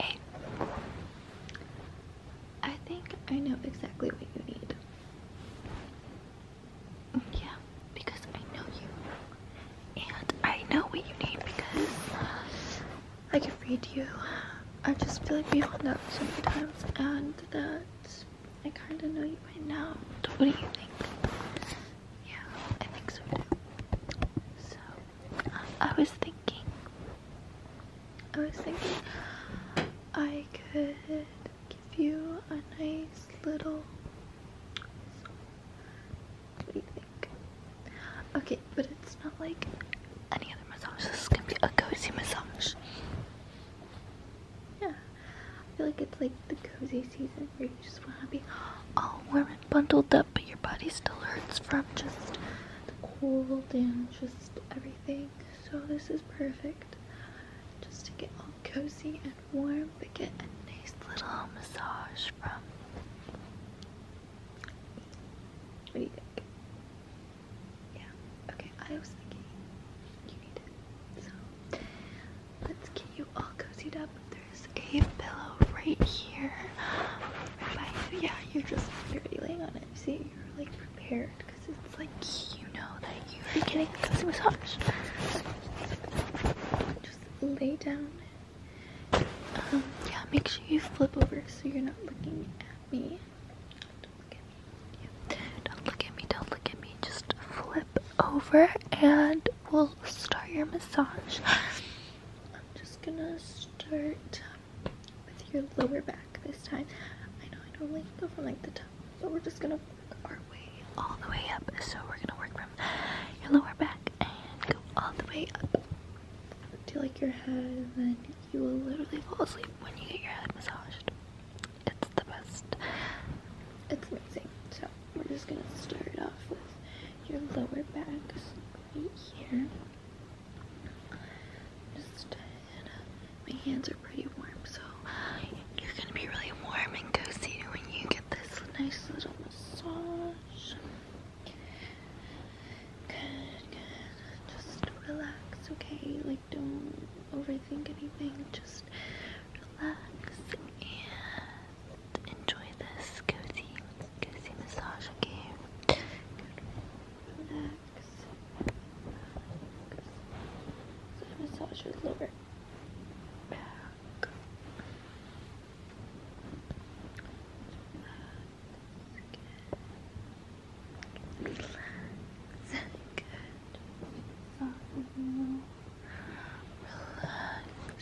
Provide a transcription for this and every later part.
Eight. I think I know exactly what you need. Yeah, because I know you. And I know what you need because I can read you. I just feel like we have hung out so many times and that I kind of know you by now. What do you think? Yeah, I think so too. So I was thinking, I was thinking I could give you a nice little. What do you think? Okay, but it's not like any other massage. This is gonna be a cozy massage. Yeah, I feel like it's like the cozy season where you just wanna be all warm bundled up, but your body still hurts from just the cold and just everything. So this is perfect just to get all cozy and warm, but get a nice little massage from. What do you think? Yeah. Okay, I was thinking you need it. So let's get you all cozied up there's a pillow right here Yeah, you're just already laying on it. See, you're like prepared because it's like you know that you're getting a cozy massage. Just lay down. Um, yeah, make sure you flip over so you're not looking at me. Don't look at me. Don't look at me. Don't look at me. Just flip over and we'll start your massage. I'm just gonna start with your lower back this time. I know I normally go from like the top, but we're just gonna work all the way up. So we're gonna work from your lower back and go all the way up to like your head, and then you will literally fall asleep when you get your head massaged. It's the best. It's amazing. So we're just gonna start off with your lower backs right here. Uh, my hands are pretty warm, so you're gonna be really warm and cozy when you get this nice little massage. Good, good. Just relax, okay? Like, don't overthink anything. Just relax and enjoy this cozy, cozy massage, okay? I massage your lower back. Relax. Good. Good. Relax.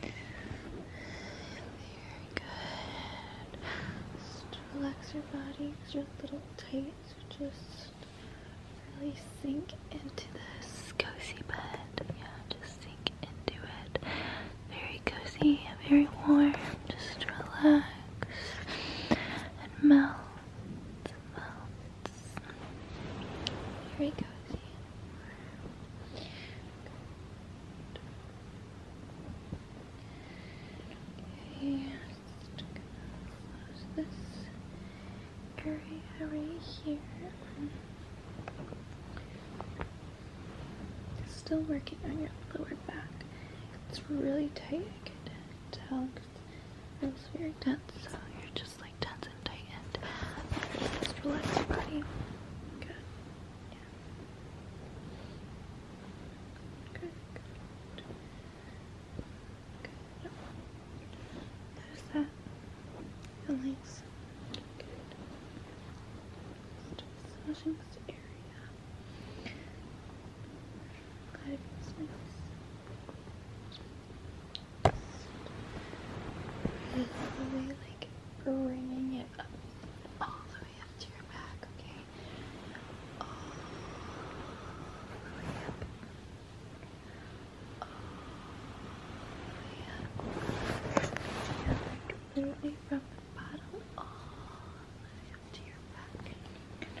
Very good. Just relax your body because you little tights. so just really sink into this cozy bed. Yeah, just sink into it. Very cozy, very warm. Just relax and melt here he goes. Good. Okay, just going close this area right here. Still working on your lower back. It's really tight. I can tell it's very tense, so you're just like tense and tightened. And just relax buddy. Good. Yeah. Good. Good. Good. Yep. Notice that. Feelings. Good. Just massaging this area. Glad it just really like bringing it up all the way up to your back, okay? All the way up. All the way up. Yeah, like literally from the bottom all the way up to your back. All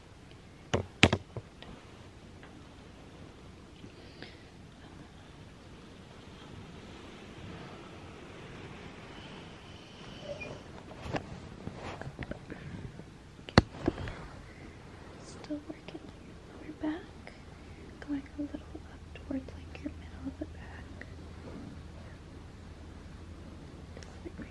Still working on your back, going a little up towards like your middle of the back.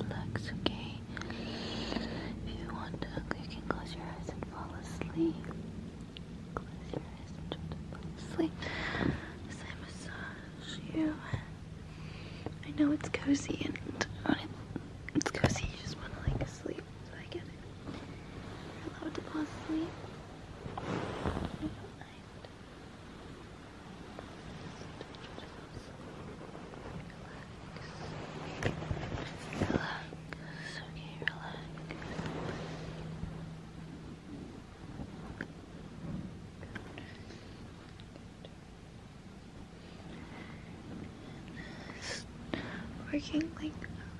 relax, okay? If you want to, you can close your eyes and fall asleep. Close your eyes and fall asleep as I massage you. I know it's cozy and it's cozy, you just want to like sleep, so I get it. You're allowed to fall asleep. Relax, okay, relax. working like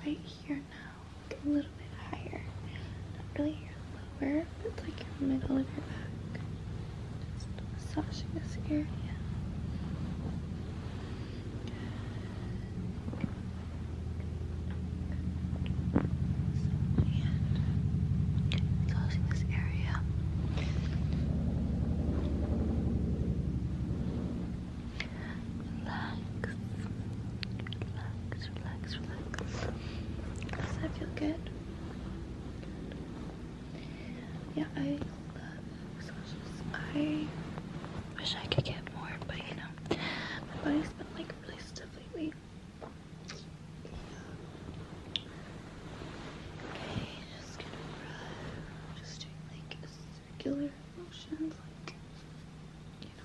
right here now a little bit higher. Not really your lower, but it's like your middle of your back. Just massaging this area. And closing this area. Relax, relax, relax, relax. Does that feel good? Yeah, I wish I could get more, but you know, my body's been like really stiff lately. circular motions, like you know,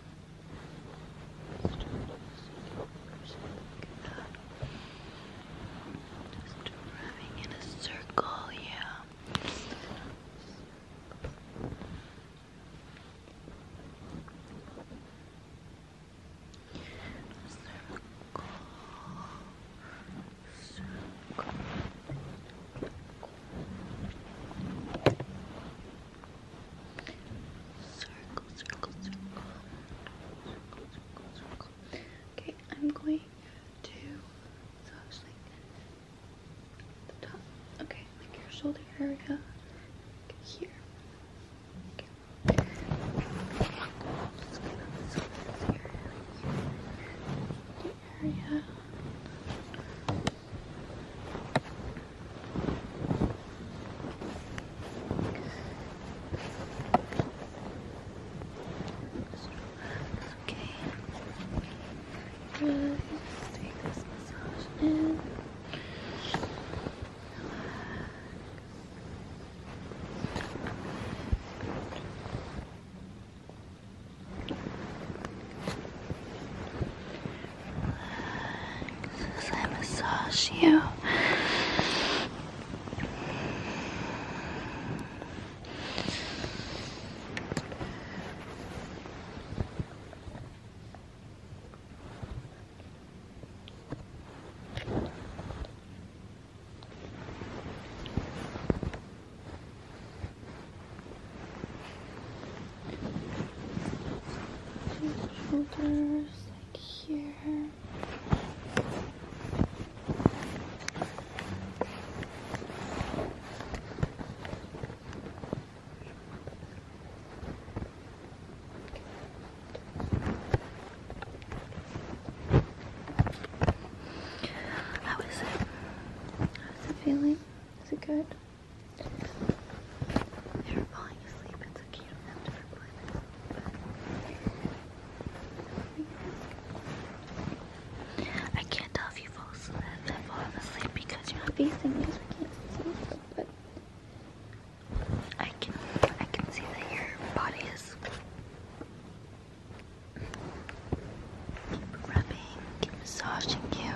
just rubbing in a circle, yeah. Circle. Circle. Okay, I'm going to massage so like the top. Okay, like your shoulder area. here. here. The area. Okay. Good. Just take this massage in. Relax as I massage you shoulders, like here. How is it? How's it feeling? Is it good? They're falling asleep. It's a cute I can't tell if you fall asleep, if fall asleep because you're not facing me, so I can't see you. But I can, I can see that your body is. Keep rubbing, keep massaging you.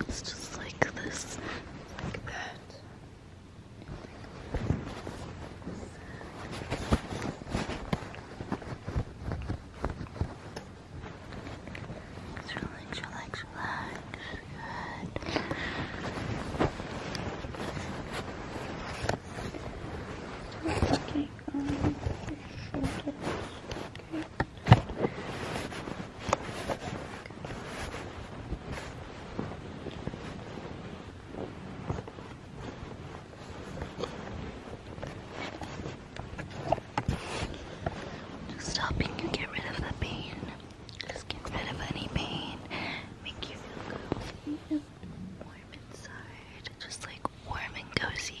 It's just like this, like that. relax, relax, relax. Good. Okay. Um, just stop helping you get rid of that pain. Just get rid of any pain. Make you feel cozy warm inside. Just like warm and cozy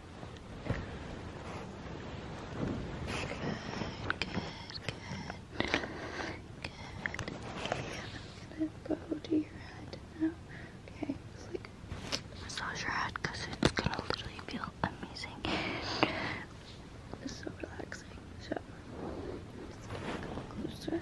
good, good. I'm gonna go to your head now. Okay, just like massage your head because it's gonna literally feel amazing. It's so relaxing. So just gonna go closer.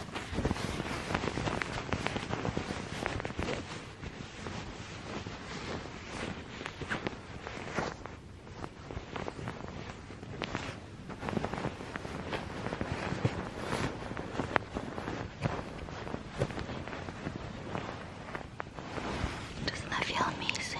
Doesn't that feel amazing?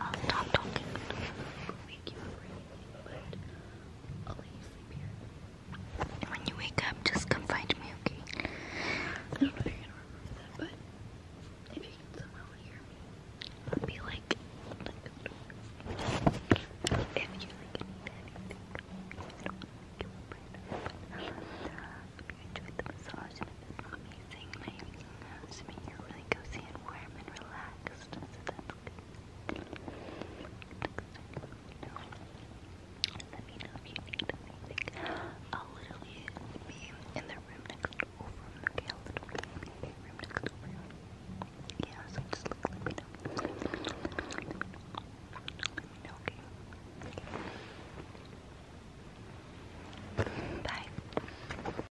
I'll oh, stop talking. when you wake up, just come find me, okay? I don't know if you're gonna remember that, but if you can somehow hear me, I'll be like, if you like anything, I don't want to you enjoyed the massage and amazing and I you really cozy and warm and relaxed next let me know if you need anything. I'll literally be in the room next over okay, I'll literally be in the room next over yeah, so just look, okay bye